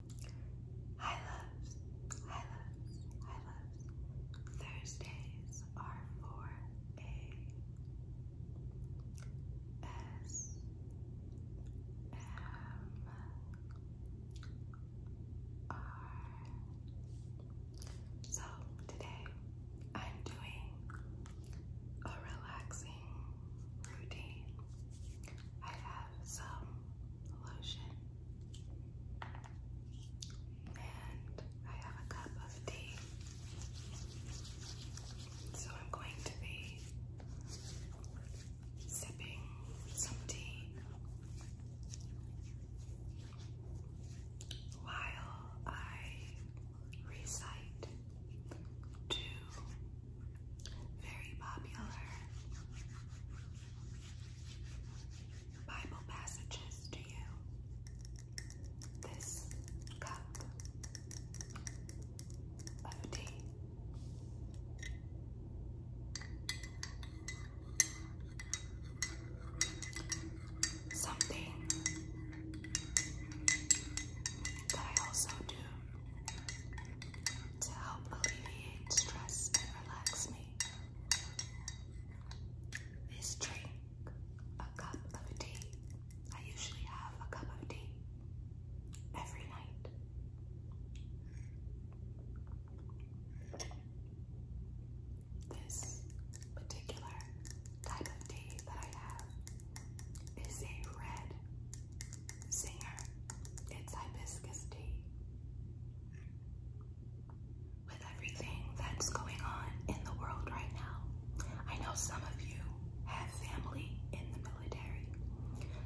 Hi loves, hi loves, hi loves. Thursdays are for a S M R. So today I'm doing a relaxing routine. I have some lotion. And I have a cup of tea. So I'm going to be sipping some tea while I recite to very popular Bible passages to you. This cup of tea. Something that I also do to help alleviate stress and relax me. Is drink a cup of tea. I usually have a cup of tea every night. This particular type of tea that I have is a red Singer, it's hibiscus tea. With everything that's going on in the world right now, I know some of you have family in the military.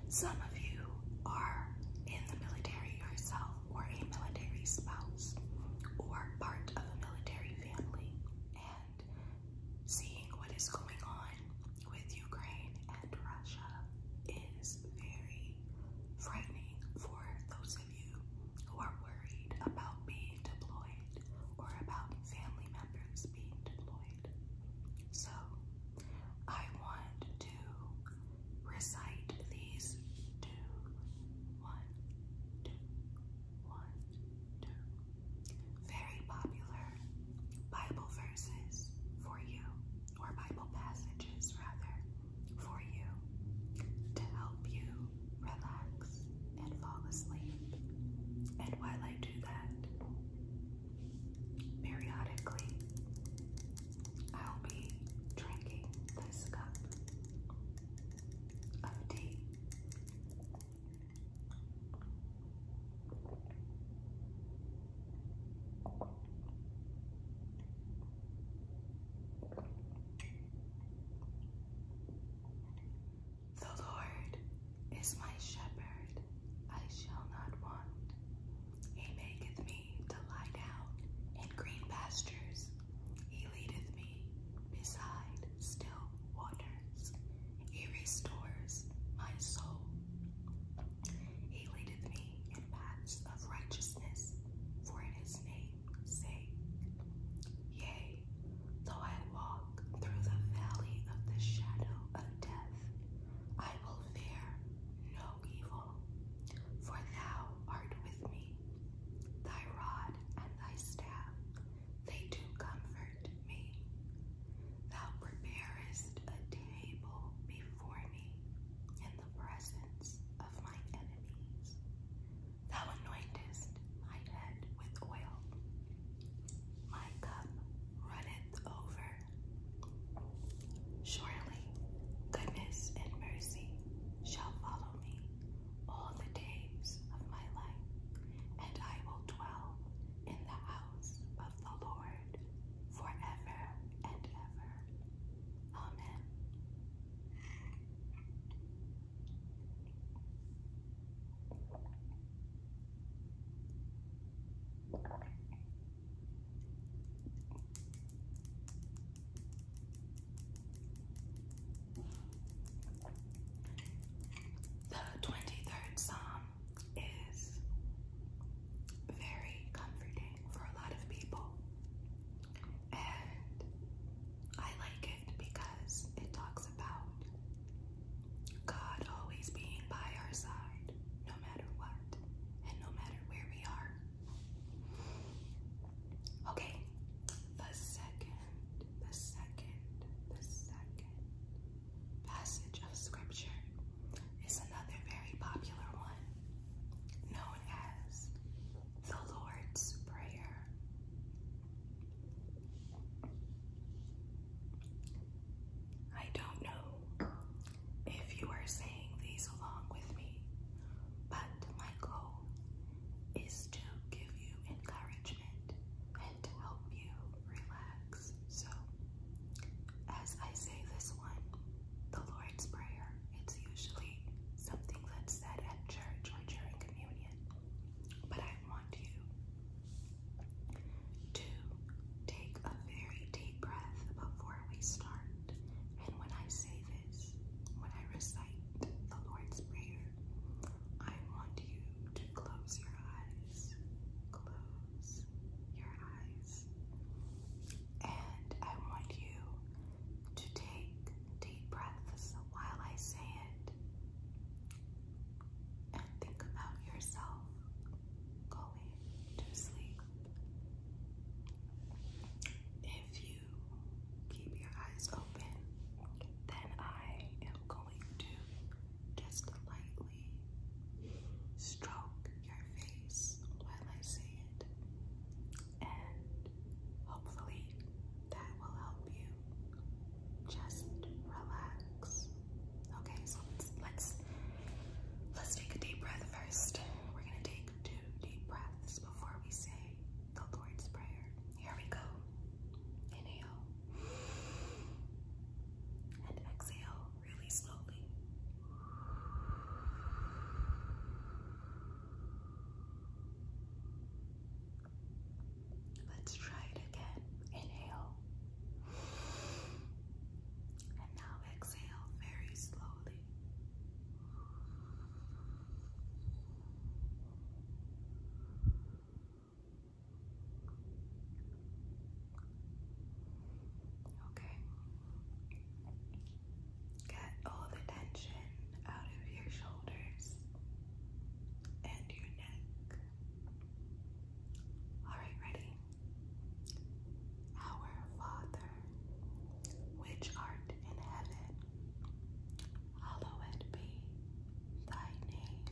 Some of you are in the military yourself or a military spouse or part of a military family. And seeing what is going on with Ukraine and Russia is very frightening for those of you who are worried about being deployed or about family members being deployed. So, I want to recite these two, one, two, one, very popular Bible verses for you, or Bible passages rather, for you to help you relax and fall asleep. And while I do that, periodically, I'll be drinking this cup of tea the Lord is my shepherd, I shall not want. He maketh me to lie down in green pastures. He leadeth me beside still waters. He restores my soul. He leadeth me in paths of righteousness for in his name, sake. Yea, though I walk through the valley of the shadow of death, I will fear no evil, for thou art with me. Thy rod and thy staff, they do comfort me. Thou preparest a table before me in the presence of my enemies. Thou anointest my head with oil. My cup runneth over. Surely goodness and mercy shall follow me all the days of my life, and I will dwell in the house of the Lord forever and ever. Amen. The 23rd Psalm is very comforting for a lot of people, and I like it because it talks about God always being by our side, no matter what, and no matter where we are. Okay, the second the second, the second passage of scripture is another very popular one known as the Lord's Prayer. I don't know if you are saying these along with me, but my is to give you encouragement and to help you relax. So, as I say this one, the Lord's Prayer, it's usually something that's said at church or during communion, but I want you to take a very deep breath before we start. And when I say this, when I recite the Lord's Prayer, I want you to close your eyes. Close your eyes. And I want you to take deep breaths while I say it. And think about yourself going to sleep. If you keep your eyes open, then I am going to just lightly stroke your face while I say it, and hopefully that will help you just relax. Okay, so let's let's take a deep breath first. We're gonna take two deep breaths before we say the Lord's Prayer. Here we go. Inhale. And exhale really slowly. Let's try it again. Inhale. And now exhale very slowly. Okay. Get all the tension out of your shoulders and your neck. All right, ready? Our Father which art in heaven, hallowed be thy name.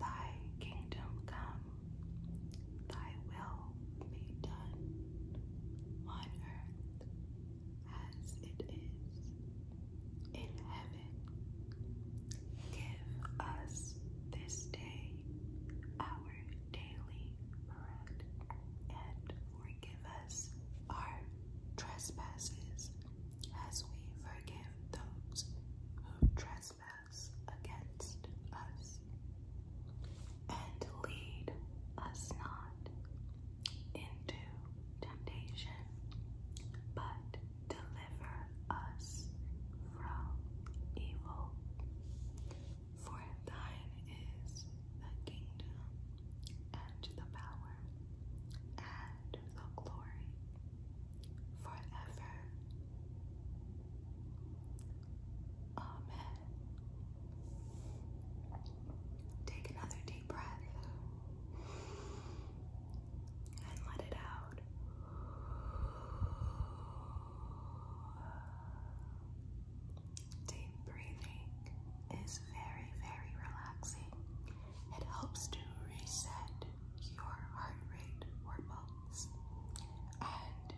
Thy kingdom come, thy will be done on earth as it is in heaven. Give us this day our daily bread and forgive us our trespasses as we forgive those who trespass against us. And lead us not into temptation, but deliver us from evil. For thine is the kingdom, and the power, and the glory, forever. Amen. Take another deep breath and let it out. Deep breathing is very, very relaxing. It helps to reset your heart rate or pulse, and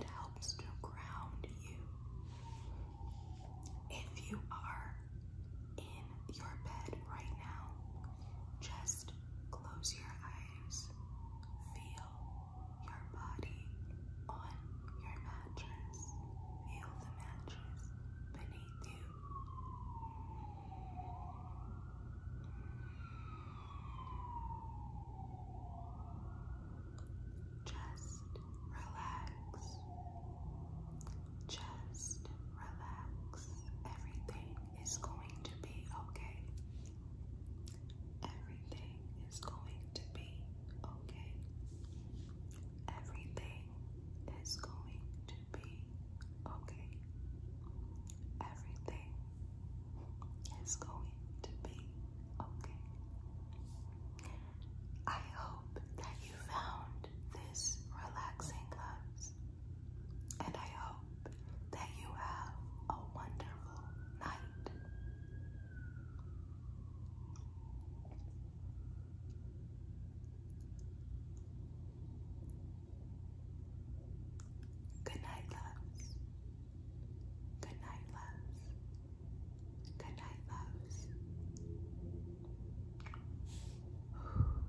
it helps to ground you. If you are in your bed right now, just close your eyes, feel your body on your mattress. Feel the mattress beneath you. Just relax. Just relax. Everything is going to be okay. Everything is going to be okay. Everything is going to be okay. Everything is going to be okay. I hope that you found this relaxing, and I hope that you have a wonderful wonderful night. Good night, loves. Good night, loves. Good night, loves.